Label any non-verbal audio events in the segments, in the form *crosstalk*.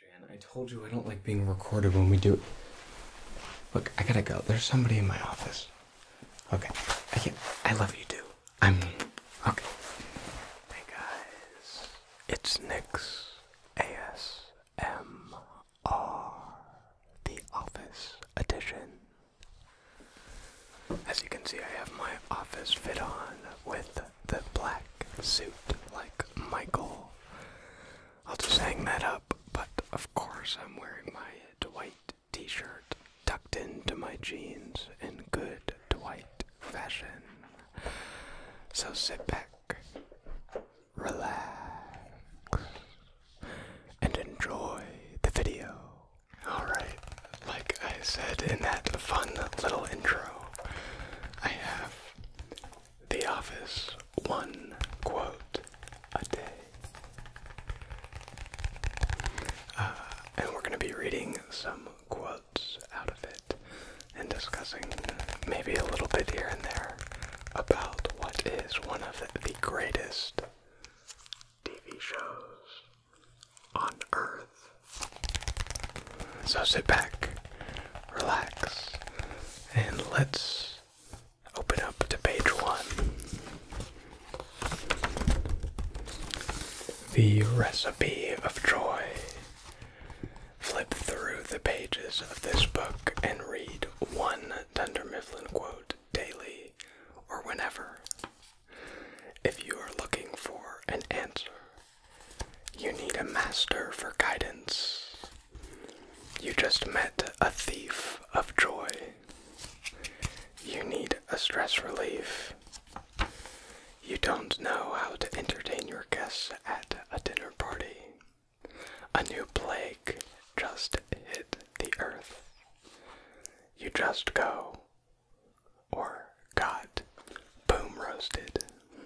Jan, I told you I don't like being recorded when we do it. Look, I gotta go. There's somebody in my office. Okay. I can't. I love you too. I'm. Okay. Hey guys. It's Nick's ASMR, the office edition. As you can see, I have my office fit on with the black suit like Michael. I'll just hang that up, but of course I'm wearing my Dwight t shirt tucked into my jeans in good Dwight fashion. So sit back, relax, and enjoy the video. Alright, like I said in that fun little intro, I have the Office, one quote a day. Uh, and we're going to be reading some quotes out of it and discussing maybe a little bit here and there about what is one of the greatest TV shows on earth. So sit back, relax, and let's open up to page one. The Recipe of Joy. Flip through the pages of this book and read one Dunder Mifflin quote daily or whenever. If you are looking for an answer you need a master for guidance. You just met a thief of joy. You need a stress relief. You don't know how to entertain your guests at a dinner party. A new plague just hit the earth. You just go, or got boom roasted.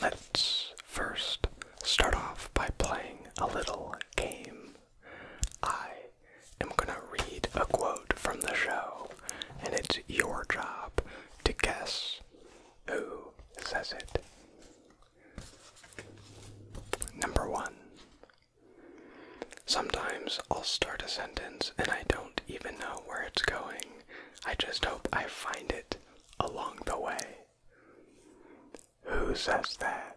Let's first start off by playing a little game. I am gonna read a quote from the show, and it's your job to guess who says it. Number one. Sometimes I'll start a sentence and I don't even know where it's going. I just hope I find it along the way. Who says that?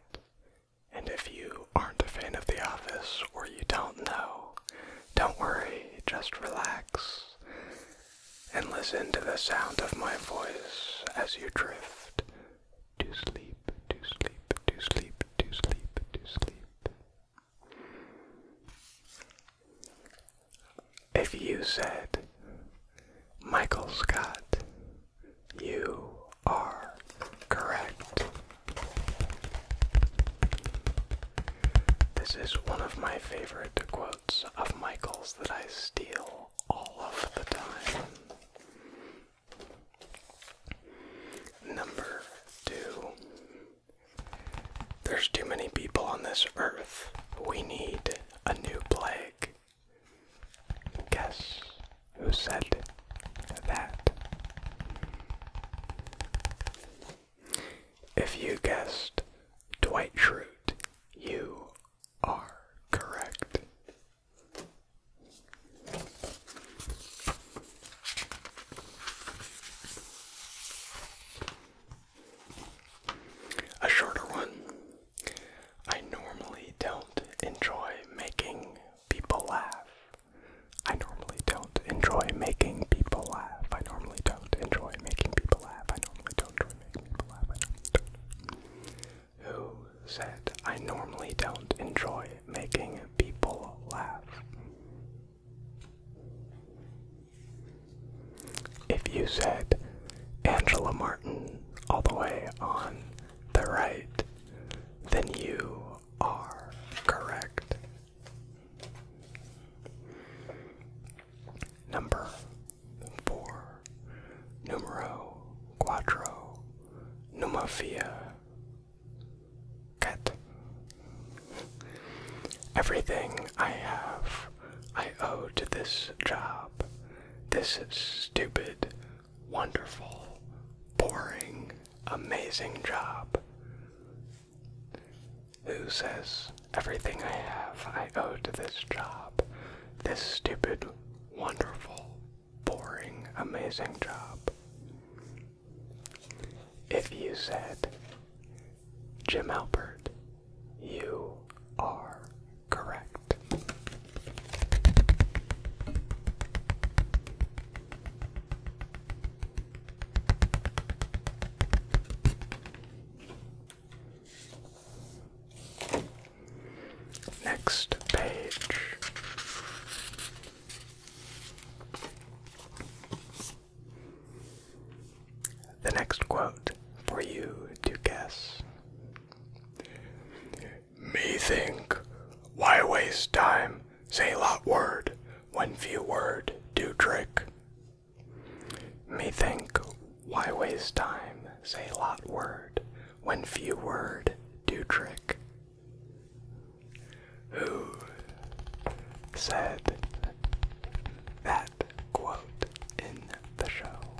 And if you aren't a fan of The Office or you don't know, don't worry, just relax and listen to the sound of my voice as you drift to sleep, to sleep, to sleep, to sleep, to sleep. If you said Michael Scott, you are correct. This is one of my favorite quotes of Michael's that I steal all of the time. Number two. There's too many people on this earth. We need a new plague. Guess who said that? If you guessed Dwight Schrute, you are correct a shorter one. I normally don't enjoy making people laugh. I normally don't enjoy making people laugh. I normally don't enjoy making people laugh. I normally don't enjoy making people laugh. Who said I normally don't enjoy making people laugh? If you said Angela Martin all the way on the right, then you are correct. Number four, numero quattro, numafia, cat. Everything I have I owe to this job, this stupid, wonderful, boring, amazing job. Who says everything I have I owe to this job, this stupid, wonderful, boring, amazing job? If you said, Jim Albert, you are correct. Next page. The next quote for you to guess. Me think, why waste time, say lot word, when few word do trick. Me think, why waste time, say lot word, when few word do trick. Who said that quote in the show?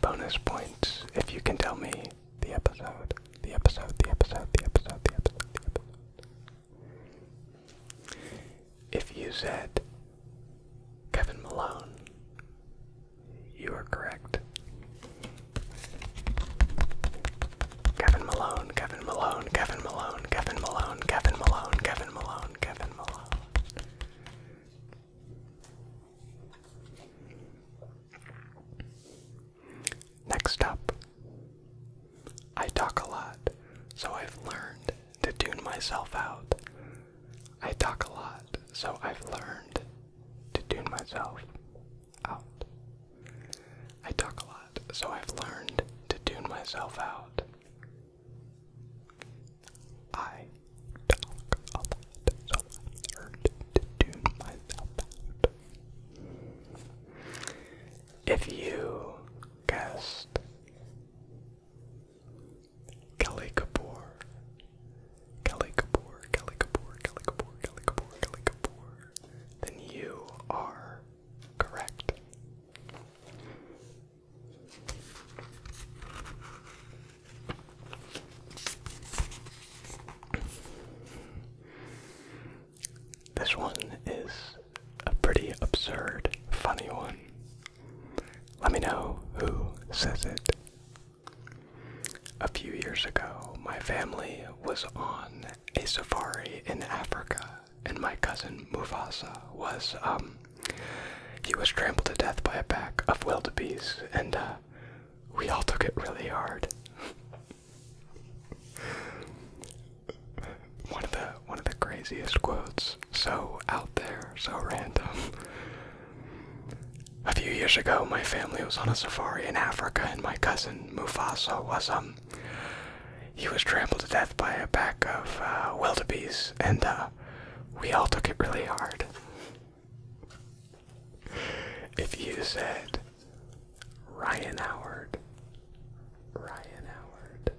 Bonus points if you can tell me the episode, the episode, the episode, the episode, the episode, the episode. If you said Kevin Malone, you are correct. Kevin Malone, Kevin Malone, Kevin Malone, Kevin Malone, Kevin Malone, Kevin Malone, Kevin Malone, Kevin Malone, Kevin Malone, Kevin Malone. Next up, I talk a lot, so I've learned to tune myself out. I talk a lot, so I've learned to tune myself out. I talk a lot, so I've learned to tune myself out. I talk a lot, so to tune myself out. If you guessed Kelly Kapoor, Kelly Kapoor, Kelly Kapoor, Kelly Kapoor, Kelly Kapoor, Kelly Kapoor, then you are correct. This one is a pretty absurd, funny one. Let me know who says it. A few years ago, my family was on a safari in Africa and my cousin Mufasa was um he was trampled to death by a pack of wildebeest and uh we all took it really hard. one of the one of the craziest quotes so out there, so random. A few years ago, my family was on a safari in Africa, and my cousin Mufasa was um he was trampled to death by a pack of uh, wildebeest, and uh, we all took it really hard. If you said Ryan Howard, Ryan Howard,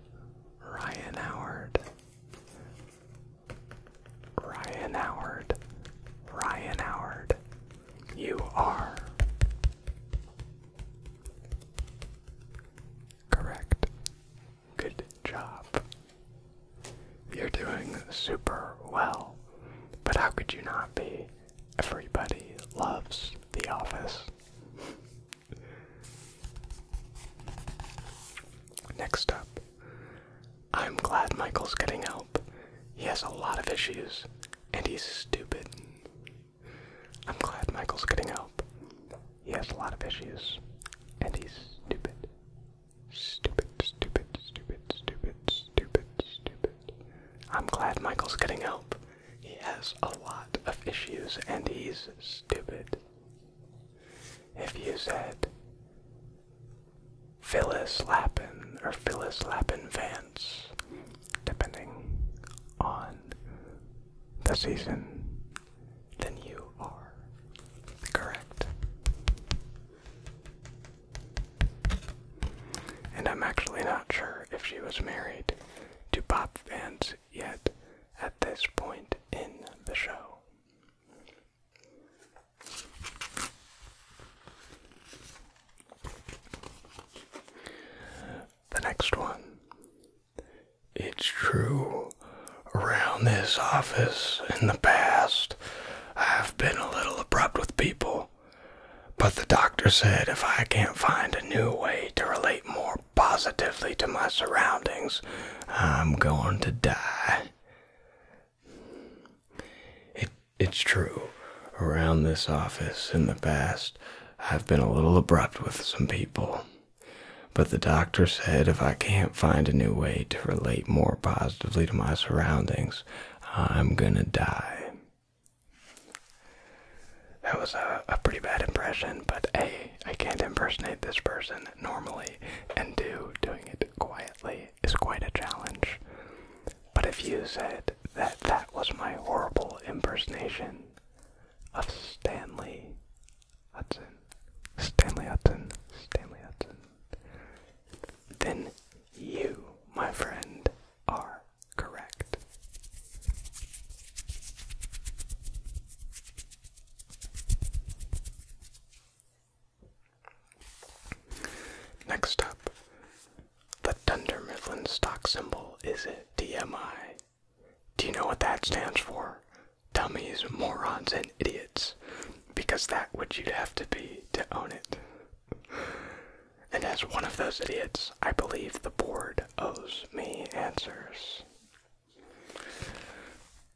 Ryan Howard, Ryan Howard, Ryan Howard, you are Correct. Good job. You're doing super well. But how could you not be? Everybody loves The Office. Next up, I'm glad Michael's getting help. He has a lot of issues, and he's stupid. I'm glad Michael's getting help. He has a lot of issues, and he's stupid. Stupid, stupid, stupid, stupid, stupid, stupid. I'm glad Michael's getting help. He has a lot of issues, and he's stupid. If you said Phyllis Lappin or Phyllis Lappin Vance, depending on the season then you are correct. And I'm actually not sure if she was married to Bob Vance yet at this point in the show. The next one it's true. Around this office in the past, I've been a little abrupt with people. But the doctor said if I can't find a new way to relate more positively to my surroundings, I'm going to die. It, it's true. Around this office in the past, I've been a little abrupt with some people. But the doctor said if I can't find a new way to relate more positively to my surroundings, I'm gonna die. That was a, pretty bad impression, but hey, I can't impersonate this person normally, and do doing it quietly is quite a challenge. But if you said that that was my horrible impersonation of Stanley Hudson, Stanley Hudson, Stanley Hudson. Then you, my friend, are correct. Next up, the Dunder Mifflin stock symbol is DMI. Do you know what that stands for? Dummies, morons, and idiots. Because that would you'd have to be to own it. And as one of those idiots, I believe the board owes me answers.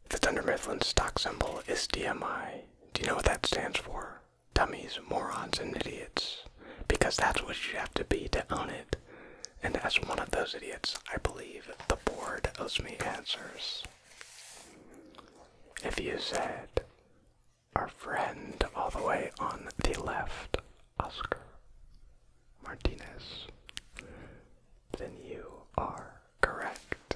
The Thunder Mifflin stock symbol is DMI. Do you know what that stands for? Dummies, morons, and idiots. Because that's what you have to be to own it. And as one of those idiots, I believe the board owes me answers. If you said, our friend all the way on the left, Oscar Martinez, then you are correct.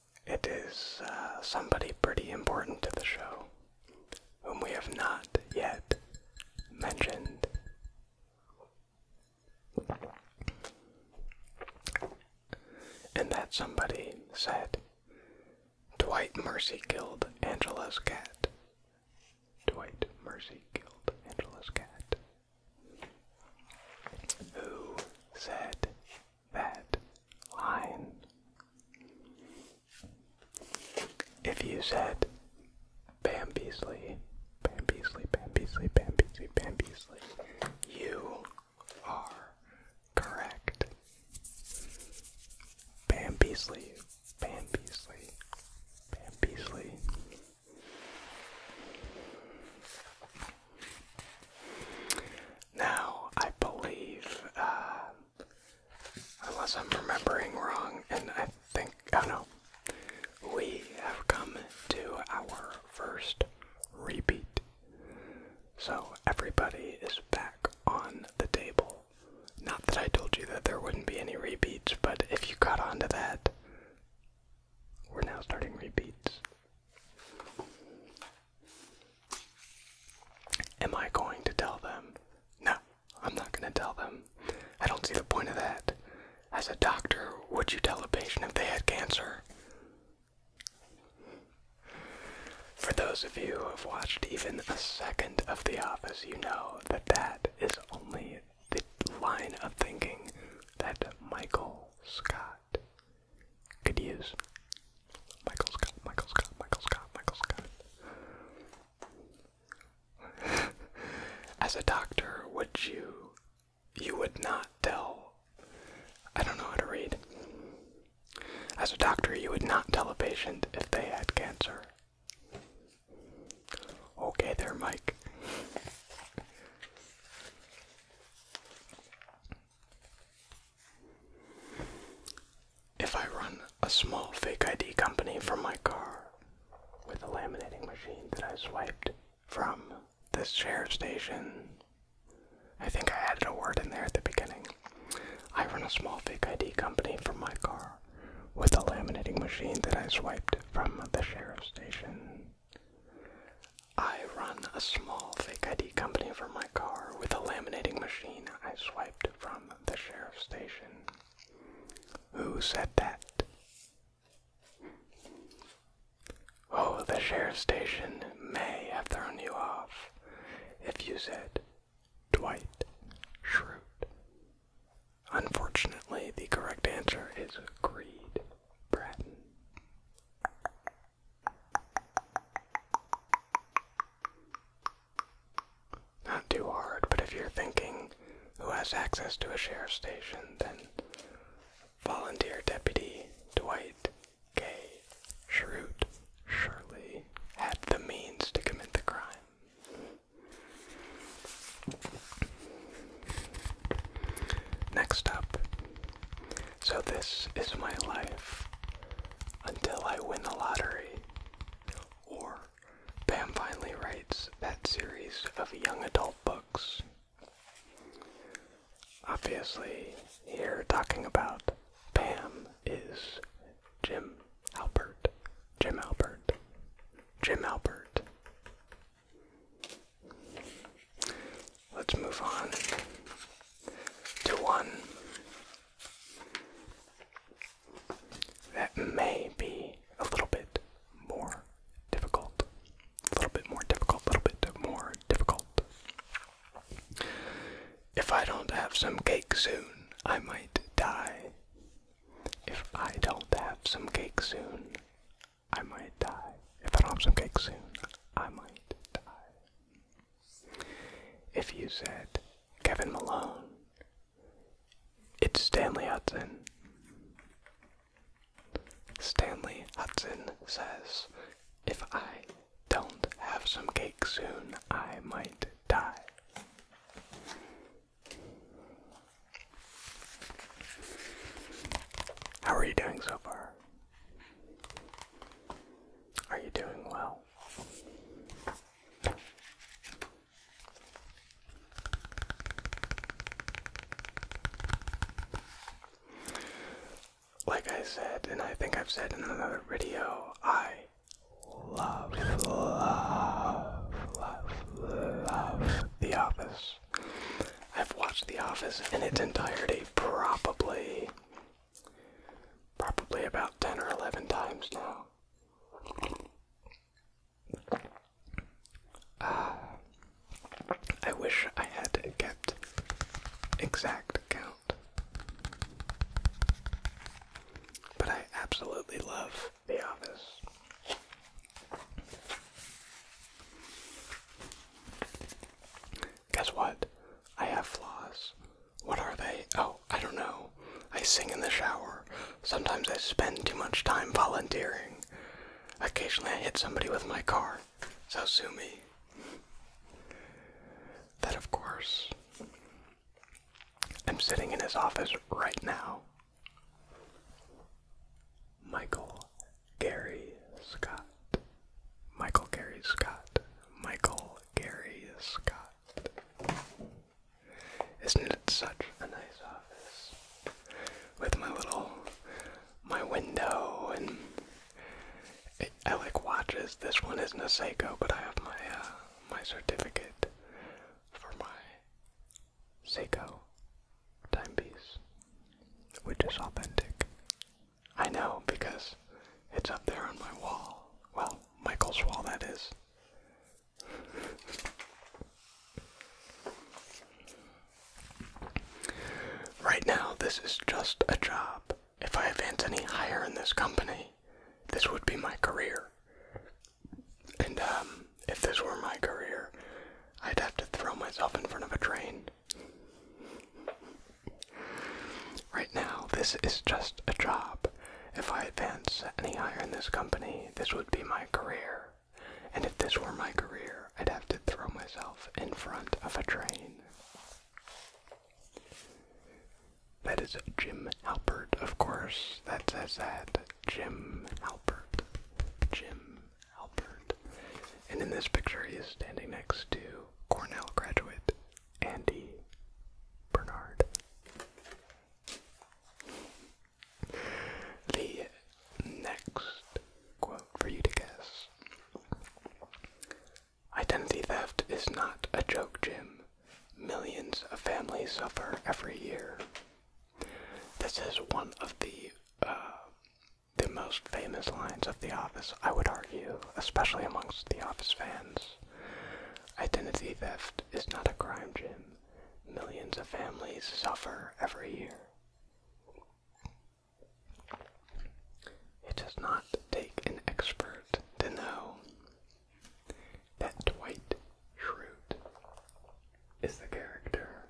It is uh, somebody pretty important to the show, whom we have not yet mentioned. And that somebody said, Dwight Mercy killed Angela's cat. Dwight Mercy killed Angela's cat. Who said that line? If you said Bam Beasley, Bam Beasley, Bam Beasley, Bam Beasley, you are correct. Bam Beasley, Bam Beasley, Bam Beasley. Now, I believe, uh, unless I'm remembering wrong, and I think, oh no, we have come to our first repeat. So everybody is back on the table. Not that I told you that there wouldn't be any repeats, but if you caught on to that, we're now starting repeats. Am I going to tell them? No, I'm not going to tell them. I don't see the point of that. As a doctor, would you tell a patient if they had cancer? For those of you who have watched even a second of The Office, you know that that is only the line of thinking that Michael Scott Scott could Michael Scott, Michael Scott, Michael Scott, Michael Scott. *laughs* As a doctor, would you you would not tell I don't know how to read. As a doctor, you would not tell a patient if they had cancer. Okay there, Mike. If I run a small fake ID company from my car with a laminating machine that I swiped from this sheriff station, I think I added a word in there at the beginning. I run a small fake ID company from my car with a laminating machine that I swiped from the sheriff station. I run a small fake ID company for my car with a laminating machine I swiped from the sheriff's station. Who said that? Oh, the sheriff's station may have thrown you off if you said Dwight Schrute. Unfortunately, the correct answer is Creed Bratton. Not too hard, but if you're thinking who has access to a sheriff's station, then volunteer deputy Dwight K. Shroot surely had the means to commit the crime. Next up, so this is my life until I win the lottery. Or Pam finally writes that series of young adult books. Obviously, here talking about Pam is Jim Albert. Jim Albert. Jim Albert. Let's move on to one that may be a little bit more difficult. A little bit more difficult, a little bit more difficult. If I don't have some cake soon, I might die. If I don't have some cake soon, I might die. If I don't have some cake soon, I might die. If you said Kevin Malone, it's Stanley Hudson. Stanley Hudson says, If I don't have some cake soon, I might die. How are you doing so far? Are you doing well? Like I said, and I think I've said in another video, I love, love, love, love The Office. I've watched The Office in its entirety probably probably about 10 or 11 times now. Uh, I wish I had kept exact count. But I absolutely love The Office. Guess what? I have flaws. What are they? Oh, I don't know. I sing in the shower. Sometimes I spend too much time volunteering. Occasionally I hit somebody with my car. So sue me. That, of course. I'm sitting in his office right now. Michael Gary Scott, Michael Gary Scott, Michael Gary Scott. Isn't it such a nice office? With my little, my window and I like watches. This one isn't a Seiko, but I have my uh, my certificate for my Seiko timepiece, which is authentic. I know because it's up there on my wall. Well, Michael's wall, that is. right now, this is just a job. If I advance any higher in this company, this would be my career. And um, if this were my career, I'd have to throw myself in front of a train Right now, this is just a job. If I advance any higher in this company, this would be my career. And if this were my career, I'd have to throw myself in front of a train. That is Jim Halpert, of course. That's says that. Jim Halpert. Jim Albert. And in this picture, he is standing next to Cornell graduate Andy Bernard. The next quote for you to guess Identity theft is not a joke, Jim. Millions of families suffer every year. This is one of the uh, the most famous lines of The Office, I would argue, especially amongst The Office fans. Identity theft is not a crime, Jim. Millions of families suffer every year. It does not take an expert to know that Dwight Schrute is the character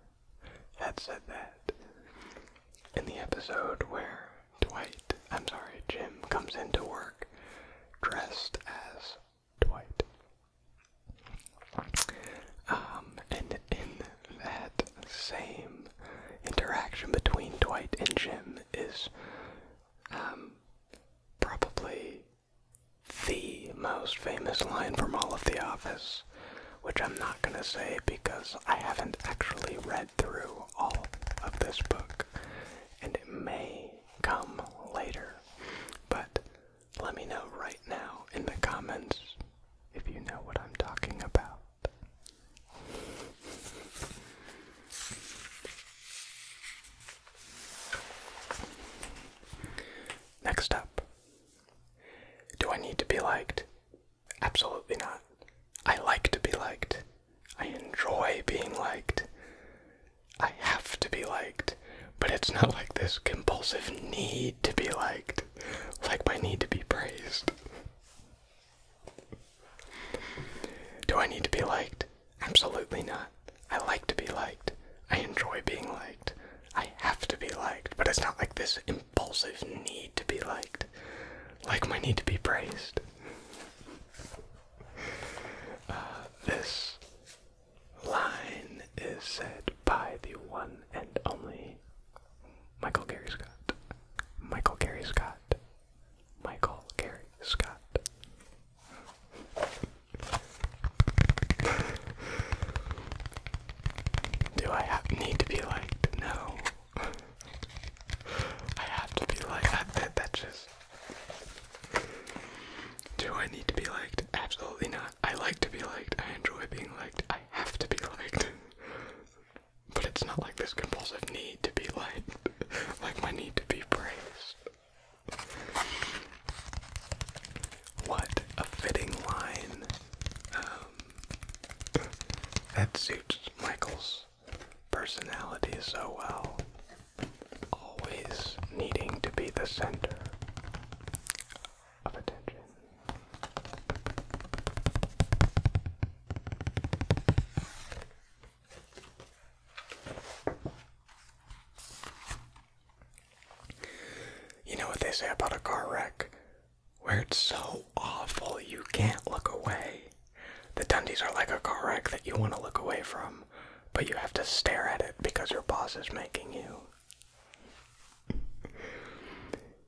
that said that in the episode where Dwight, I'm sorry, Jim comes into work dressed as Dwight. Um, and in that same interaction between Dwight and Jim is um, probably the most famous line from all of The Office, which I'm not going to say because I haven't actually read through all of this book, and it may come later. But let me know right now in the comments if you know what I'm talking about. Next up, do I need to be liked? Absolutely not. I like to be liked. I enjoy being liked. I have to be liked. But it's not *laughs* like this compulsive need to be liked, like my need to be praised. Do I need to be liked? Absolutely not. I like to be liked. I enjoy being liked. I have to be liked. But it's not like this impulsive need to be liked, like my need to be praised. Uh, this line is said by the one and only Michael Gary Scott. Michael Gary Scott. Michael Gary Scott. Do I need to be liked? No. I have to be like that. that just. Do I need to be liked? Absolutely not. I like to be liked. I enjoy being liked. I have to be liked. but it's not like this compulsive need to be liked, like my need to be praised. What a fitting line that suits Michael's personality so well. Always needing to be the center of attention. You know what they say about a car wreck? where it's so awful you can't look away. The Dundies are like a car wreck that you want to look away from, but you have to stare at it because your boss is making you.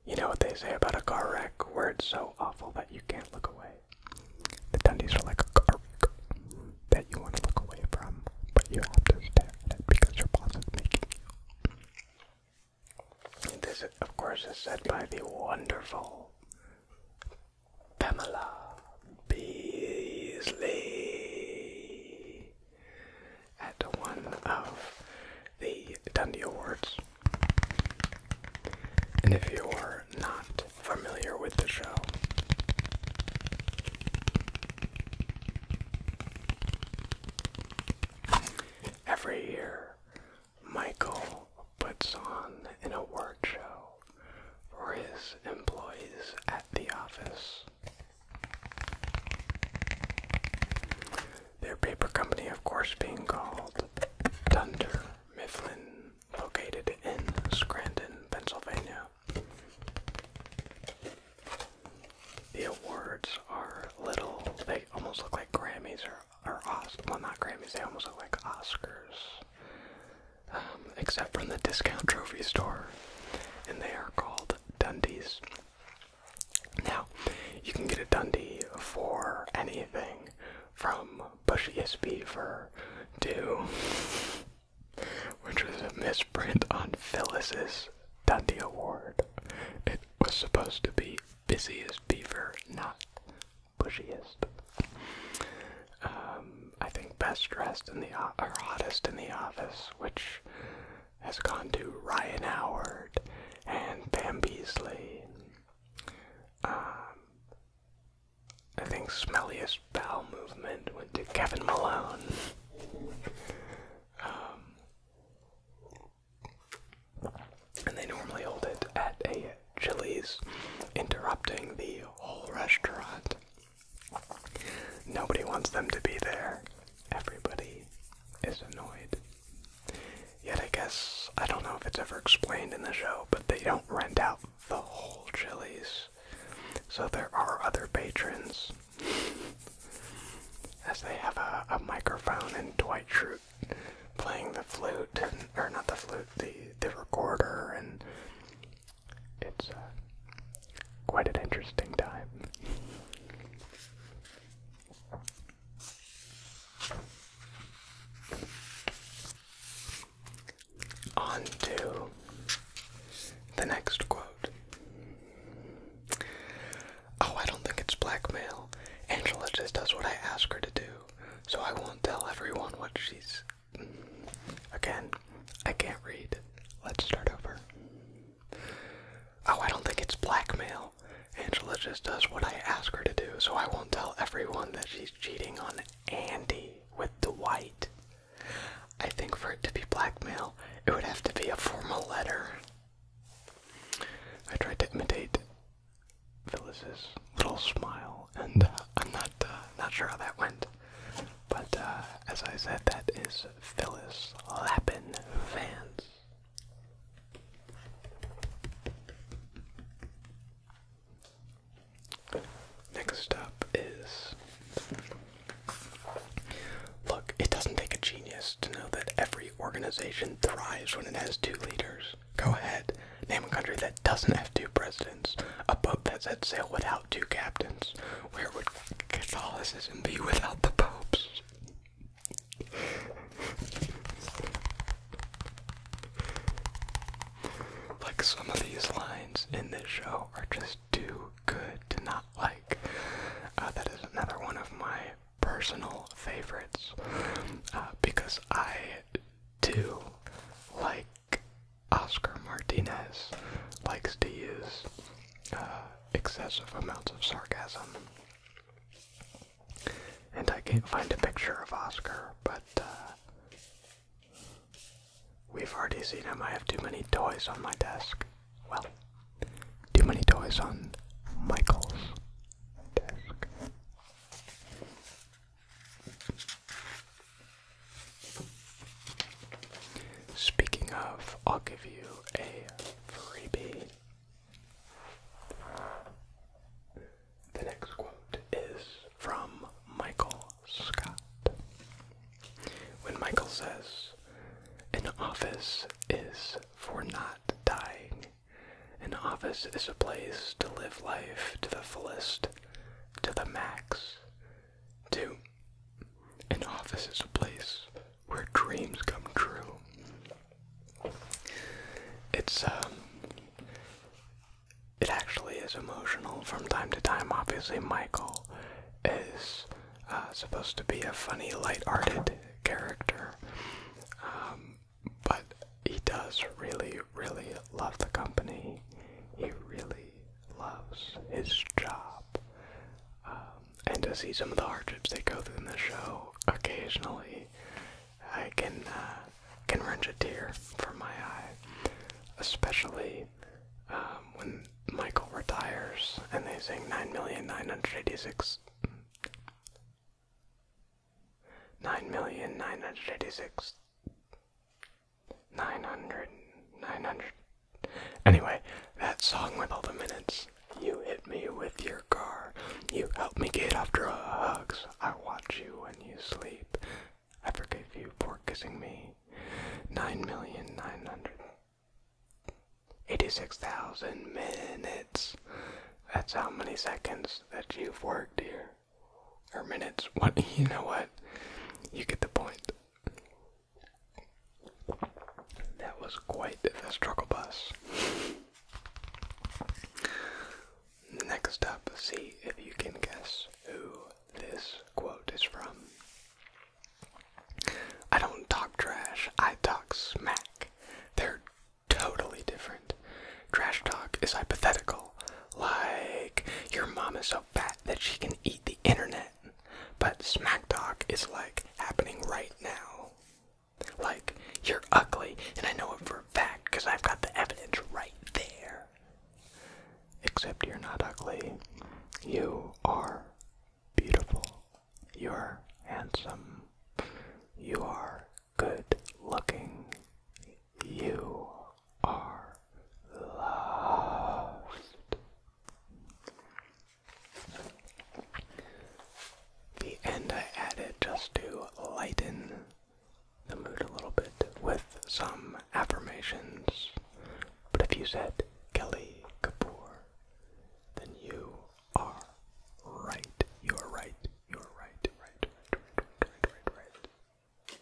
you know what they say about a car wreck, where it's so awful that you can't look away. The Dundies are like a car wreck that you want to look away from, but you have to stare at it because your boss is making you. This, of course, is said by the wonderful Pamela Beasley at one of the Dundee Awards. And if you're not familiar with the show, every year Michael puts on an award show for his employees at the office. Their paper company, of course, being called Dunder Mifflin, located in Scranton, Pennsylvania. The awards are little, they almost look like Grammys or they well not Grammys, they almost look like Oscars. Um, except from the discount trophy store. And they are called Dundies. Now, you can get a Dundee for anything from Bush beaver to, *laughs* which was a misprint on Phyllis's Dundee Award. It was supposed to be Busiest Beaver, not bushiest. Um, I think best dressed in the or hottest in the office, which has gone to Ryan Howard and Pam Beasley. Um, I think smelliest bowel movement went to Kevin Malone. Um, and they normally hold it at a Chili's, interrupting the whole restaurant. Nobody wants them to be there. Everybody is annoyed. Yet I guess, I don't know if it's ever explained in the show, but they don't rent out the whole Chili's. So there are other patrons. As they have a, microphone and Dwight Schrute playing the flute, or not the flute, the the recorder, and it's uh, quite an interesting time. On to the next quote. Oh, I don't think it's blackmail. Angela just does what I ask her to do so I won't tell everyone what she's. Again, I can't read. Let's start over. Oh, I don't think it's blackmail. Angela just does what I ask her to do, so I won't tell everyone that she's cheating on Andy with Dwight. I think for it to be blackmail, it would have to be a formal letter. I tried to imitate Phyllis's little smile, and uh, I'm not uh, not sure how that went. But uh, as I said, that is Phyllis Lappin Vance. Next up is. Look, it doesn't take a genius to know that every organization thrives when it has two leaders. Go ahead. Name a country that doesn't have two presidents, a pope that sets sail without two captains. Where would Catholicism be without the popes? like some of these lines in this show are just too good to not like. Uh, that is another one of my personal favorites uh, because I do like Oscar Martinez likes to use uh, excessive amounts of sarcasm. And I can't find a picture of Oscar, but uh, we've already seen him. I have too many toys on my desk. Well, too many toys on Michael's desk. Speaking of, I'll give you a freebie. The next quote is from Michael Scott. When Michael says, An office is for not dying an office is a place to live life to the fullest, to the max. 2. An office is a place where dreams come true. It's, um, it actually is emotional from time to time. Obviously, Michael is uh, supposed to be a funny, light-hearted character, um, but he does really, really love the company. He really loves his job. Um, and to see some of the hardships they go through in the show occasionally, I can uh, can wrench a tear from my eye, especially um, when Michael retires and they sing nine million nine hundred eighty six nine million nine hundred eighty six nine hundred nine hundred anyway that song with all the minutes you hit me with your car you help me get off drugs i watch you when you sleep i forgive you for kissing me nine million nine hundred Eighty-six thousand minutes. That's how many seconds that you've worked here. Or minutes. What *laughs* you know what? You get the point. That was quite the struggle bus. Next up, see if you can guess who this quote is from. I don't talk trash, I talk smack. They're totally different. Trash talk is hypothetical, like your mom is so fat that she can eat the internet. But smack talk is like happening right now. Like, you're ugly, and I know it for a fact because I've got the evidence right there. Except you're not ugly. You are beautiful. You're handsome. You are good looking. You are loved. The end I added just to lighten the mood a little bit with some affirmations. But if you said Kelly Kapoor, then you are right. You are right. You are right, right, right, right, right, right,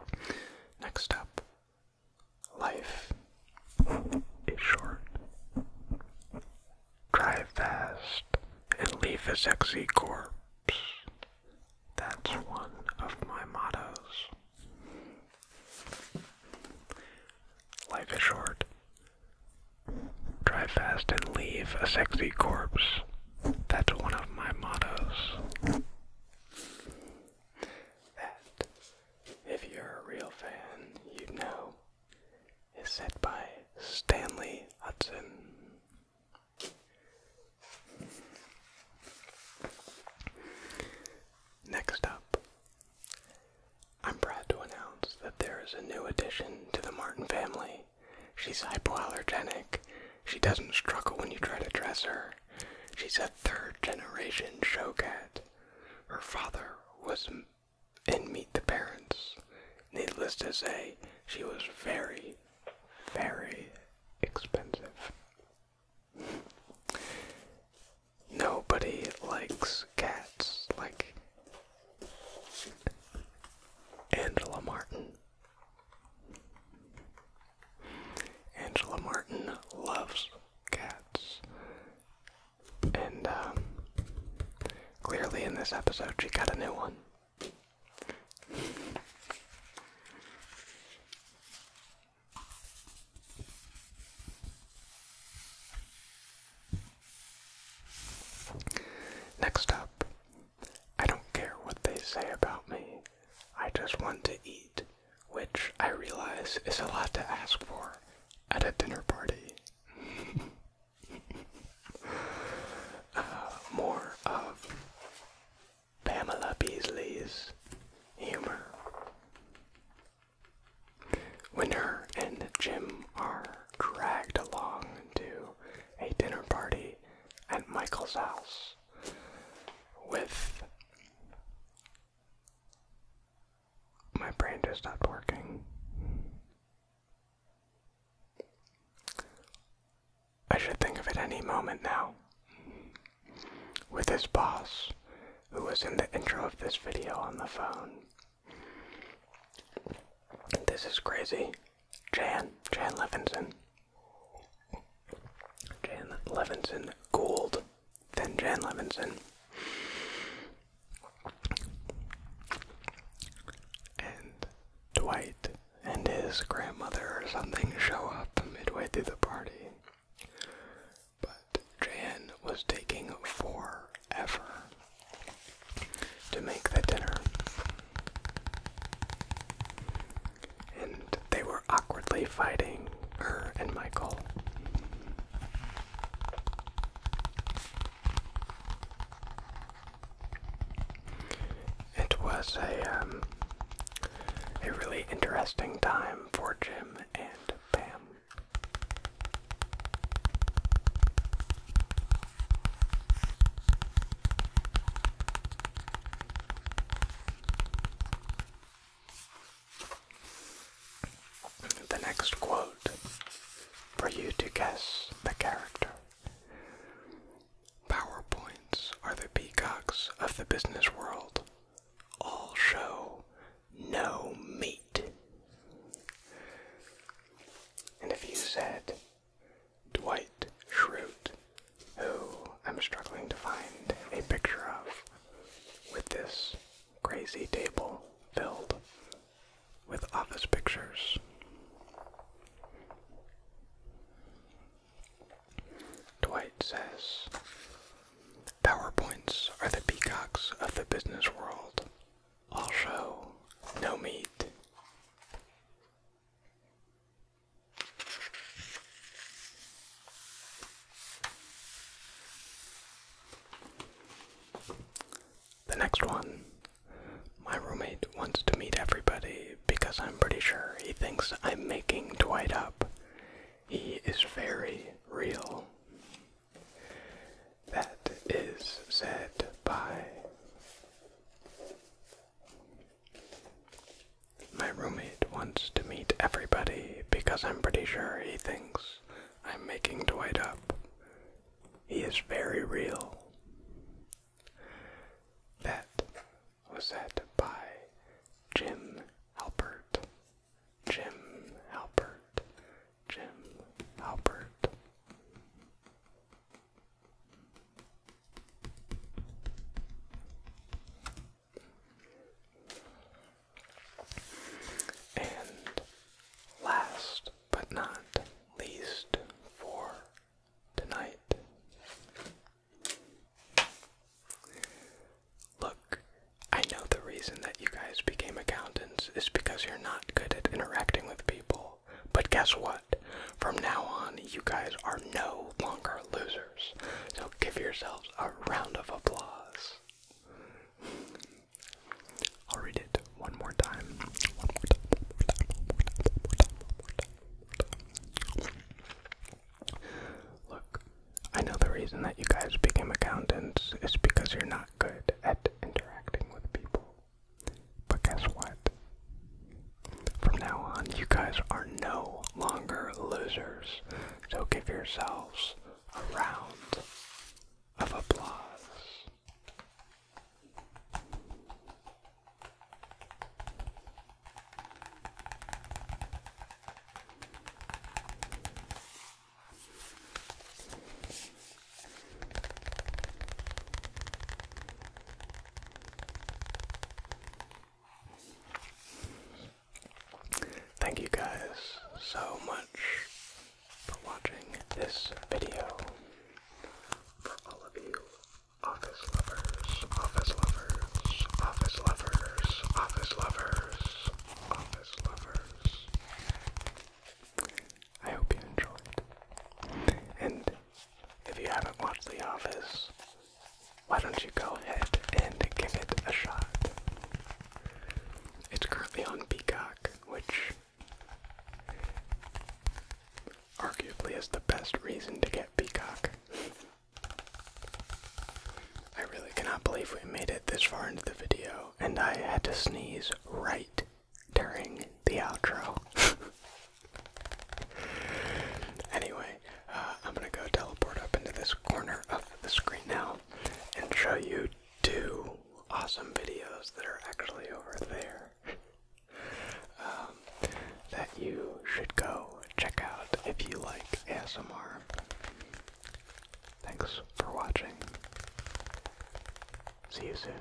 right, Next up, life is short. Drive fast and leave a sexy corpse. That's one of my mottos. Life is short. Drive fast and leave a sexy corpse. That's one of my mottos. That, if you're a real fan, you know, is said by Stanley Hudson. Next up, I'm proud to announce that there is a new addition to the Martin family. She's hypoallergenic. She doesn't struggle when you try to dress her. She's a third generation show cat. Her father was in Meet the Parents. Needless to say, she was very, very expensive. Nobody likes cats like Angela Martin. Angela Martin loves cats. And um, clearly, in this episode, she got a new one. Next up, I don't care what they say about me. I just want to eat, which I realize is a lot to ask for at a dinner party. *laughs* Uh, more of Pamela Beasley's humor. Winter and Jim are dragged along to a dinner party at Michael's house with. My brain just stopped working. I should think of it any moment now with his boss, who was in the intro of this video on the phone. This is crazy. Jan, Jan Levinson. Jan Levinson Gould, then Jan Levinson. And Dwight and his grandmother or something show up midway through the party. But Jan was taking forever to make the dinner. And they were awkwardly fighting, her and Michael. It was a um, a really interesting time for Jim and Pam. The next quote for you to guess the character. PowerPoints are the peacocks of the business world all show no meat. And if you said Dwight Schrute, who I'm struggling to find a picture of with this crazy table filled with office pictures. Dwight says, PowerPoints are the peacocks of the business world. show, no meat. The next one. My roommate wants to meet everybody because I'm pretty sure he thinks I'm making Dwight up. He is very real. That is said by my roommate wants to meet everybody because I'm pretty sure he thinks I'm making Dwight up. He is very real. That was said by Jim Halpert. Jim Halpert, Jim Halpert. And last but not least for tonight, Look, I know the reason that you guys became accountants is because you're not good at interacting with people. But guess what? From now on, you guys are no longer losers. So give yourselves a round of applause. I'll read it one more time. One more time. Look, I know the reason that you guys became accountants is because you're not good at interacting with people. But guess what? From now on, you guys are no longer losers. So give yourselves a round of applause. Thank you guys so much for watching this video. For all of you office lovers, office lovers, office lovers, office lovers, office lovers, I hope you enjoyed. And if you haven't watched The Office, why don't you go ahead and give it a shot? It's currently on Peacock, which arguably is the best reason to get Peacock. *laughs* I really cannot believe we made it this far into the video, and I had to sneeze right during the outro. *laughs* anyway, uh, I'm gonna go teleport up into this corner of the screen now and show you two awesome videos that are actually over there *laughs* um, that you should go check out if you like ASMR. Thanks for watching. See you soon.